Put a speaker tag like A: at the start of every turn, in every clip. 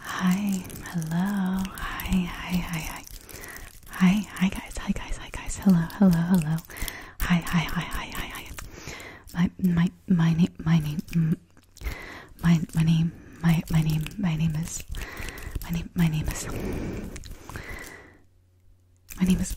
A: Hi, hello, hi, hi, hi, hi, hi, hi guys, hi guys, hi guys, hello, hello, hello, hi, hi, hi, hi, hi, hi. My, my, my name, my name, my, my name, my, my name, my name is, my name, my name is, my name is,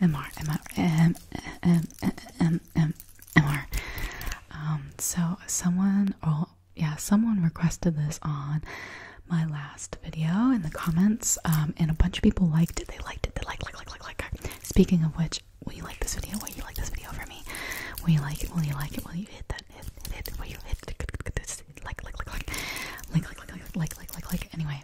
A: MR, MR, M, M, M, M, M, MR. Um, so someone, or yeah, someone requested this on my last video in the comments, um, and a bunch of people liked it. They liked it. They like, like, like, like, like. Speaking of which, will you like this video? Will you like this video for me? Will you like it? Will you like it? Will you hit that? Hit, hit, hit. Will you hit? Like, like, like, like, like, like, like, like, like, like. Anyway,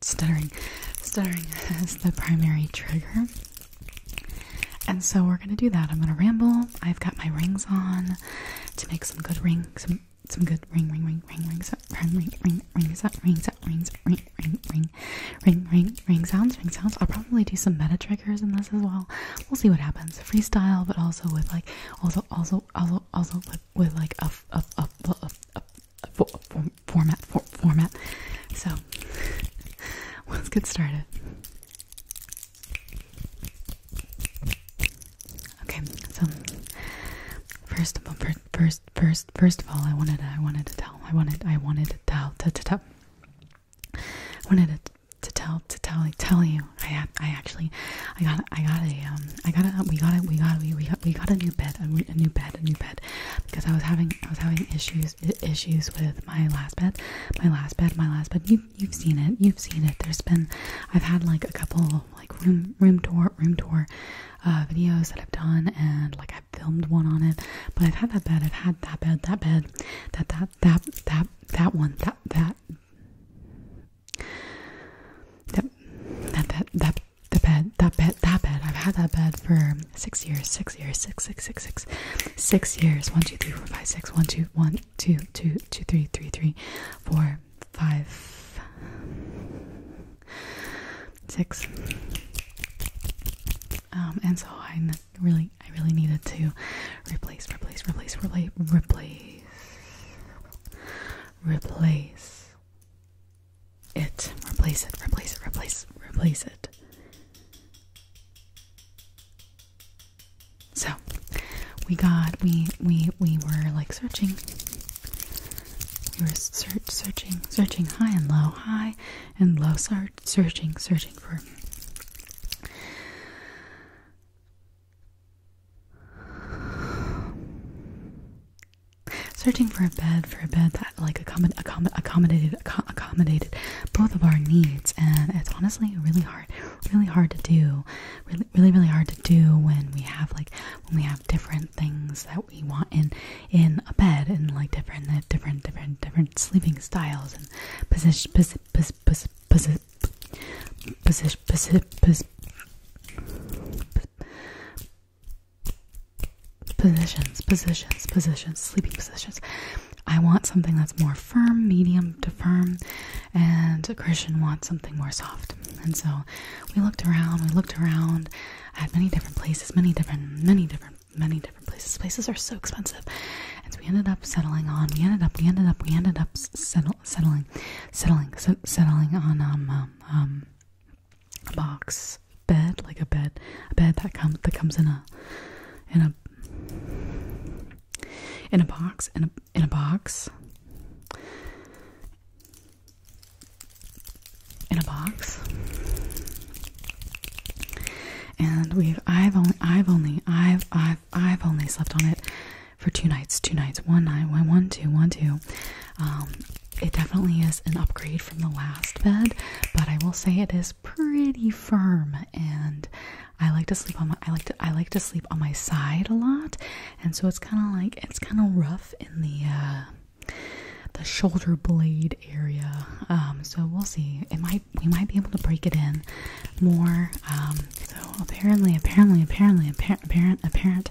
A: stuttering stuttering as the primary trigger and so we're gonna do that i'm gonna ramble i've got my rings on to make some good ring some some good ring ring ring ring rings up ring ring ring rings up rings up rings ring ring ring ring ring ring sounds ring sounds i'll probably do some meta triggers in this as well we'll see what happens freestyle but also with like also also also also with like a, a, a, a, format format. So let's get started. Okay, so first of all, first, first, first of all, I wanted, I wanted to tell, I wanted, I wanted to tell, to, to tell, I wanted to, to tell, to tell, tell you, I, I actually, I got I got a um I got a we got a we got a, we we got a new bed a, new bed a new bed because I was having I was having issues issues with my last bed my last bed my last bed you you've seen it you've seen it there's been I've had like a couple like room room tour room tour uh videos that I've done and like I've filmed one on it but I've had that bed I've had that bed that bed that that that that that one that that that that that that the bed, that bed, that bed. I've had that bed for six years, six years, six, six, six, six, six years. One, two, three, four, five, six. One, two, one, two, two, two, three, three, three, four, five, six. Um, and so I really, I really needed to replace, replace, replace, replace, replace, replace it. Replace it, replace it, replace, replace it. So we got we we we were like searching. We were search searching searching high and low, high and low search searching searching for Searching for a bed for a bed that like accommod accommodated accommodated both of our needs, and it's honestly really hard, really hard to do, really really hard to do when we have like when we have different things that we want in in a bed and like different uh, different different different sleeping styles and position position position position position position positions, positions, positions, sleeping positions. I want something that's more firm, medium to firm, and Christian wants something more soft. And so we looked around, we looked around at many different places, many different, many different, many different places. Places are so expensive. And so we ended up settling on, we ended up, we ended up, we ended up settle, settling, settling, settling on um, um, um, a box bed, like a bed, a bed that comes that comes in a in a in a box in a in a box in a box. And we've I've only I've only I've I've I've only slept on it for two nights, two nights, one night, one, one, two, one, two. Um, it definitely is an upgrade from the last bed, but I will say it is pretty firm, and I like to sleep on my I like to I like to sleep on my side a lot, and so it's kind of like it's kind of rough in the uh, the shoulder blade area. Um, so we'll see. It might we might be able to break it in more. Um, so apparently, apparently, apparently, apparent, apparent, apparent.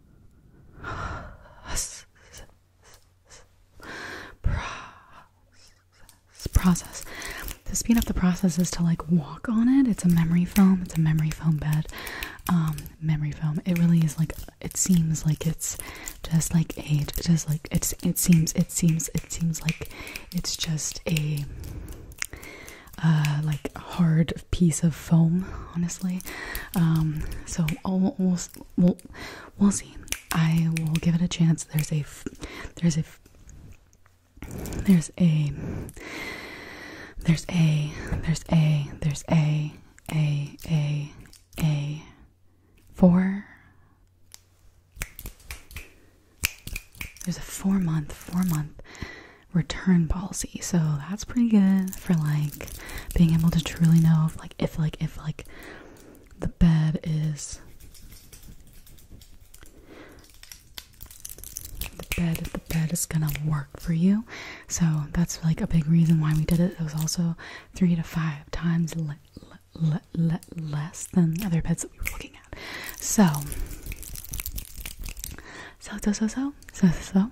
A: process process to speed up the process is to like walk on it it's a memory foam it's a memory foam bed um memory foam it really is like it seems like it's just like a just like it's it seems it seems it seems like it's just a uh like hard round piece of foam, honestly. Um, so I'll, we'll, we'll we'll see. I will give it a chance. There's a there's a there's a there's a there's a there's a a a a four. There's a four month, four month return policy, so that's pretty good for like being able to truly know if like if like if like the bed is the bed the bed is gonna work for you. So that's like a big reason why we did it. It was also three to five times less than other beds that we were looking at. So so so so so so so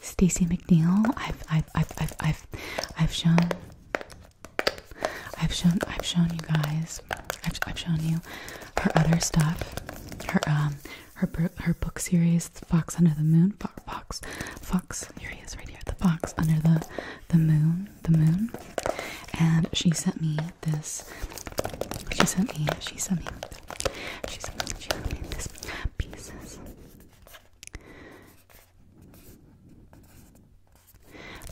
A: Stacey McNeil. I've, I've, I've, I've, I've, I've shown, I've shown, I've shown you guys. I've, shown you her other stuff. Her, um, her, her book series, Fox Under the Moon. Fo Fox, Fox. Here he is, right here. The Fox Under the, the Moon, the Moon. And she sent me this. She sent me. She sent me. She sent me. She this pieces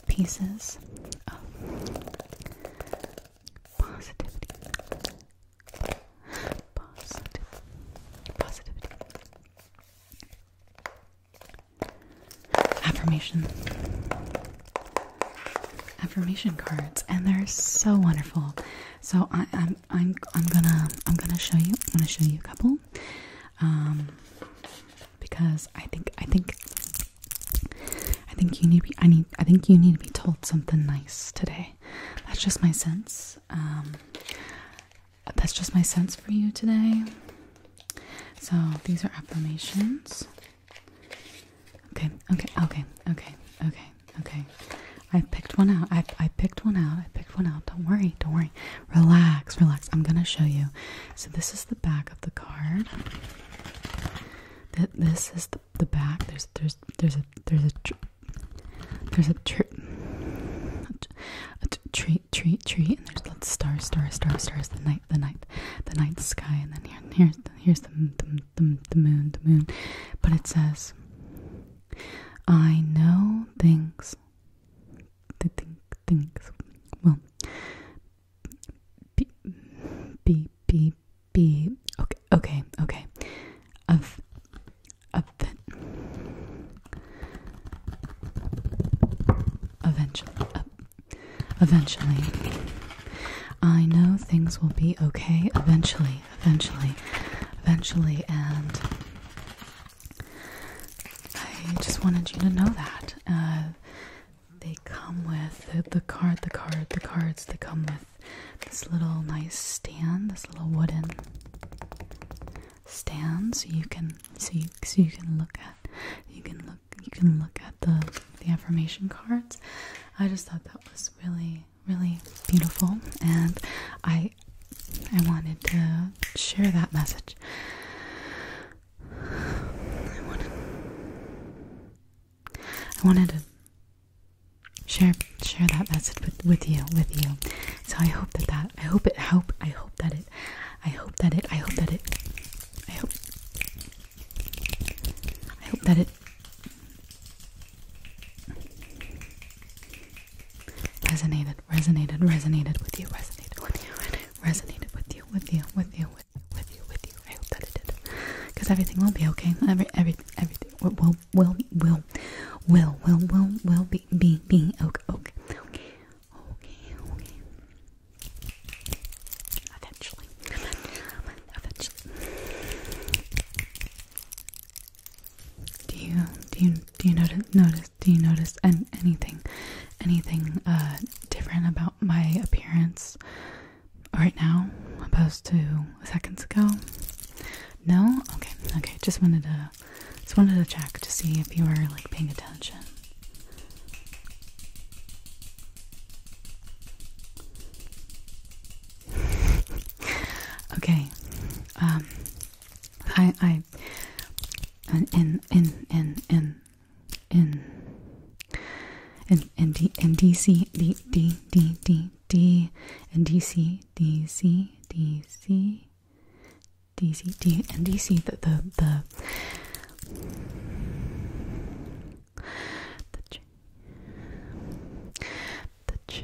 A: pieces of positivity. Positivity. Affirmation. Affirmation cards, and they're so wonderful. So I, I'm I'm I'm gonna I'm gonna show you. I'm gonna show you a couple, um, because I think I think I think you need to be, I need I think you need to be told something nice today. That's just my sense. Um, that's just my sense for you today. So these are affirmations. Okay, okay, okay, okay, okay, okay. I picked one out. I I picked one out. I picked one out. Don't worry, don't worry. Relax, relax. I'm gonna show you. So this is the back of the card. That this is the, the back. There's there's there's a there's a there's a tr tree tree tree and there's the star star star stars the night the night the night sky and then here here's here's the, the the moon the moon but it says I know things the thing, things. Well, be, be, be, be. Okay, okay, okay. Of, event, eventually, uh, eventually. I know things will be okay eventually, eventually, eventually, and I just wanted you to know that. Uh, they come with the, the card, the card, the cards, they come with this little nice stand, this little wooden stand so you can so you, so you can look at you can look you can look at the the affirmation cards. I just thought that was really really beautiful and I I wanted to share that message. I wanted to share share that message with, you with you. So I hope that that I hope it hope I hope that it I hope that it I hope that it I hope I hope that it resonated, resonated, resonated with you, resonated with you, resonated with you, with you, with you, with you, with you, with you. I hope that it did, because everything will be okay. Every, every, everything will, will, will, will, will, will, will, will be, be, be okay, okay, okay, okay, okay. Eventually, eventually. Do you do you do you notice notice do you notice an, anything anything uh, different about my appearance right now opposed to seconds ago? No? Okay, okay. Just wanted to just wanted to check to see if you are like paying attention. okay. Um I I okay and in in in in in and and D and DC D D D D D and DC DC DC DC D and DC the the the the ch the ch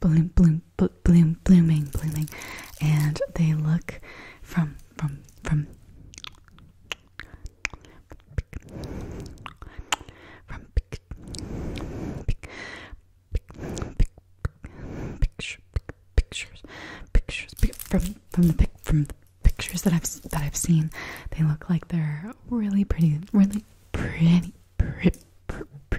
A: bloom, bloom, bloom, blooming, blooming, and they look from, from, from, from pic, pic, pic, picture, pictures, pictures, pic, from, from the pic, from the pictures that I've that I've seen. They look like they're really pretty, really pretty, pretty. Pr pr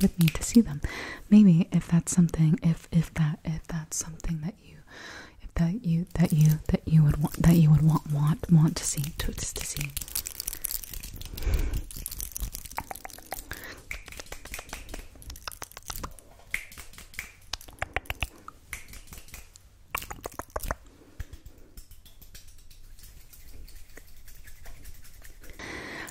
A: with me to see them. Maybe if that's something, if if that if that's something that you, if that you that you that you would want that you would want want want to see to to see.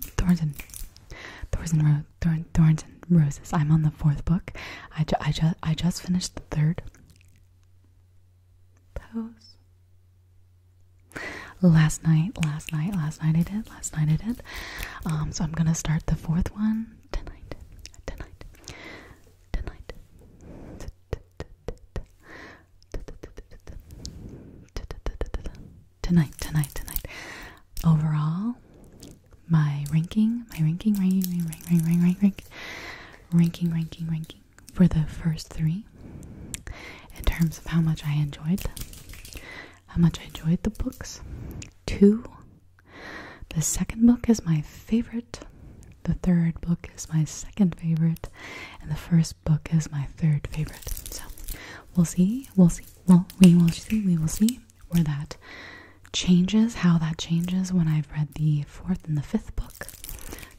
A: thorns and thorns and roses. I'm on the fourth book. I I just I just finished the third. Pose. Last night, last night, last night I did. Last night I did. Um, so I'm gonna start the fourth one tonight. Tonight. Tonight tonight, tonight, tonight. Overall, my ranking, my ranking, ranking, ranking, ranking, ranking, ranking, ranking, ranking, for the first three in terms of how much I enjoyed them, how much I enjoyed the books. Two, the second book is my favorite. The third book is my second favorite, and the first book is my third favorite. So we'll see, we'll see, well, we will see. We will see where that changes, how that changes when I've read the fourth and the fifth book.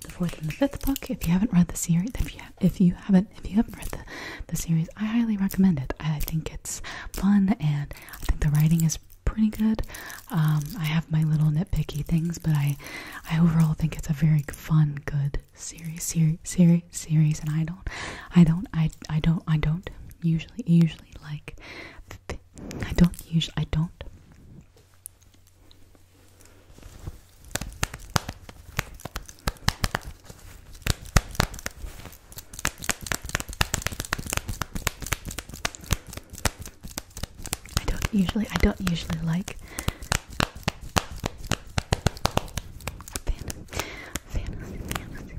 A: The fourth and the fifth book. If you haven't read the series, if you if you haven't if you haven't read the the series, I highly recommend it. I think it's fun and I think the writing is pretty good. Um, I have my little nitpicky things, but I I overall think it's a very fun, good series series series series and I don't I don't I I don't I don't usually usually like I don't usually I don't I don't usually I don't usually like fantasy, fantasy,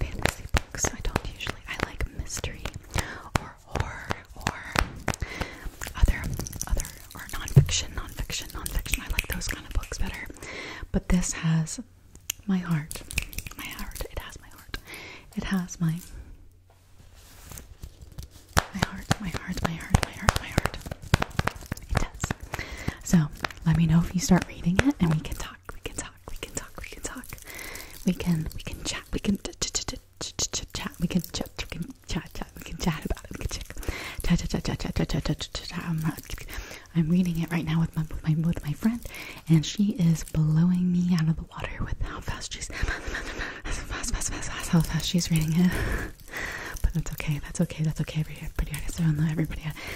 A: fantasy books. I don't usually. I like mystery or horror or other, other or nonfiction, nonfiction, nonfiction. I like those kind of books better. But this has my heart, my heart. It has my heart. It has my. My heart, my heart, my heart, my heart, my heart. It does. So let me know if you start reading it, and we can talk. We can talk. We can talk. We can talk. We can we can chat. We can chat. We can chat. We can chat. Chat. We can chat about We can check. Chat. Chat. Chat. Chat. Chat. Chat. Chat. I'm reading it right now with my with my friend, and she is blowing me out of the water with how fast she's fast fast fast fast how fast she's reading it. But that's okay. That's okay. That's okay. Every pretty I don't know everybody.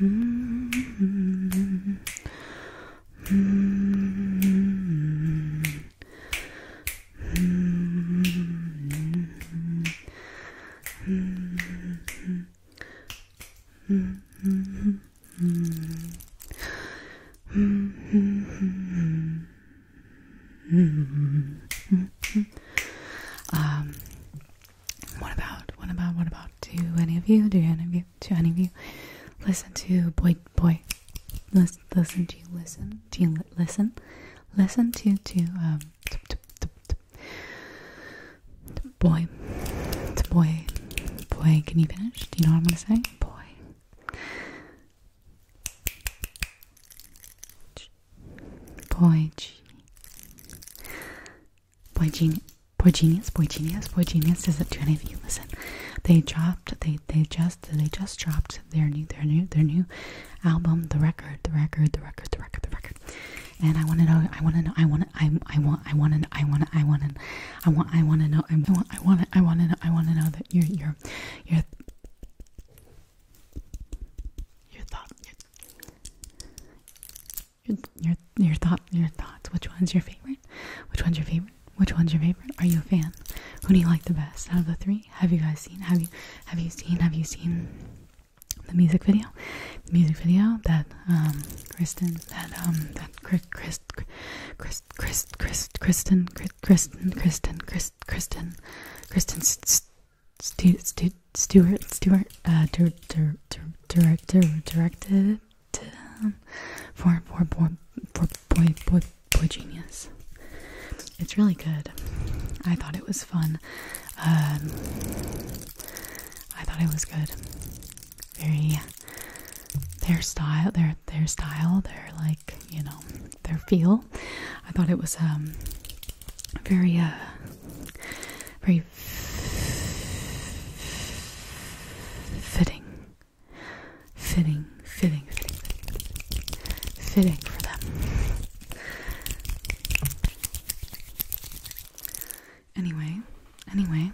A: Mm-hmm. Mm-hmm. Mm-hmm. Mm-hmm. Mm-hmm. Mm-hmm. Mm-hmm. Um, what about, what about, what about? Do any of you, do any of you, do any of you listen to boy, boy, listen, listen, do you listen, do you listen, listen to, to, um, to, to, to, boy, boy, boy, can you finish? Do you know what I'm gonna say? Boy. Pode. Poidinha. Poidinhas, poidinhas, poidinhas. Does it do any of you listen? They dropped. They they just they just dropped their new their new their new album. The record. The record. The record. The record. The record. And I want to know. I want to know. I want. I I want. I want to. I want. I want to. I want. I want to know. I want. I want. I want to know. I want to know that your your your your thought your your your your thought your thoughts. Which one's your favorite? Which one's your favorite? Which one's your favorite? Are you a fan? Who do you like the best out of the three? Have you guys seen? Have you have you seen? Have you seen the music video? The music video that um Kristen that um that Chris Chris Chris Chris Kristen Kristen Kristen Kristen Kristen Kristen Kristen Stu, Stu, Stuart Stuart uh, director directed um, for for boy for boy boy boy genius. It's really good. I thought it was fun. Um, I thought it was good. Very their style, their their style, their like you know their feel. I thought it was um very uh very fitting, fitting, fitting, fitting, fitting for them. Anyway, anyway,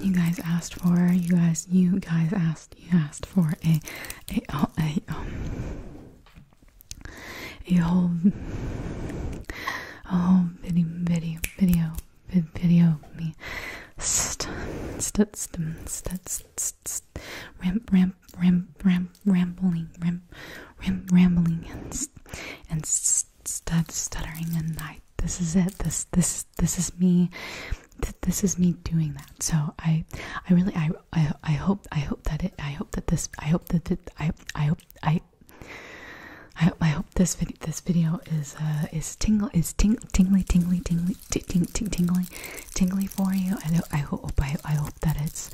A: you guys asked for you guys you guys asked you asked for a a, a, a um, a whole, a whole video, video, video, video of me st st st st st st ramp ramp ramp ramp rambling ramp ramp rambling and st and st stud stuttering and I this is it this this this is me th this is me doing that so I I really I I, I hope I hope that it I hope that this I hope that I I hope I I hope I hope this video is uh, is tingle is ting tingly tingly tingly ting tingly tingly for you. I I hope I I hope that it's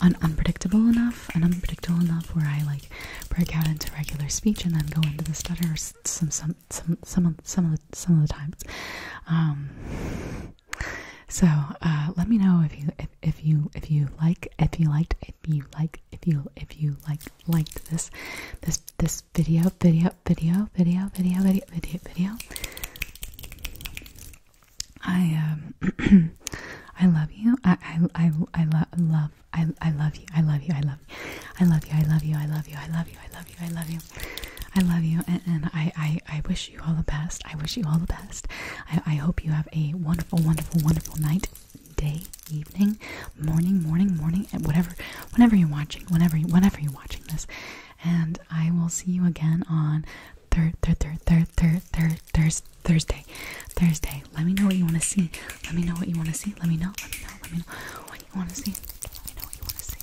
A: unpredictable enough and unpredictable enough where I like break out into regular speech and then go into the stutter some some some some of some of the, some of the times. Um, so uh, let me know if you if, if you if you like if you liked if you like if you if you like liked this this this video video video video video video video video. I um I love you. I I I I lo love I I love you. I love you. I love you. I love you. I love you. I love you. I love you. I love you. I love you. I love you. And, and I I I wish you all the best. I wish you all the best. I, hope you have a wonderful, wonderful, wonderful night, day, evening, morning, morning, morning, and whatever, whenever you're watching, whenever, whenever you're watching this. And I will see you again on third, third, third, third, third, third, third, Thursday, Thursday. Let me know what you want to see. Let me know what you want to see. Let me know. Let me know. Let me know what you want to see. Let me know what you want to see.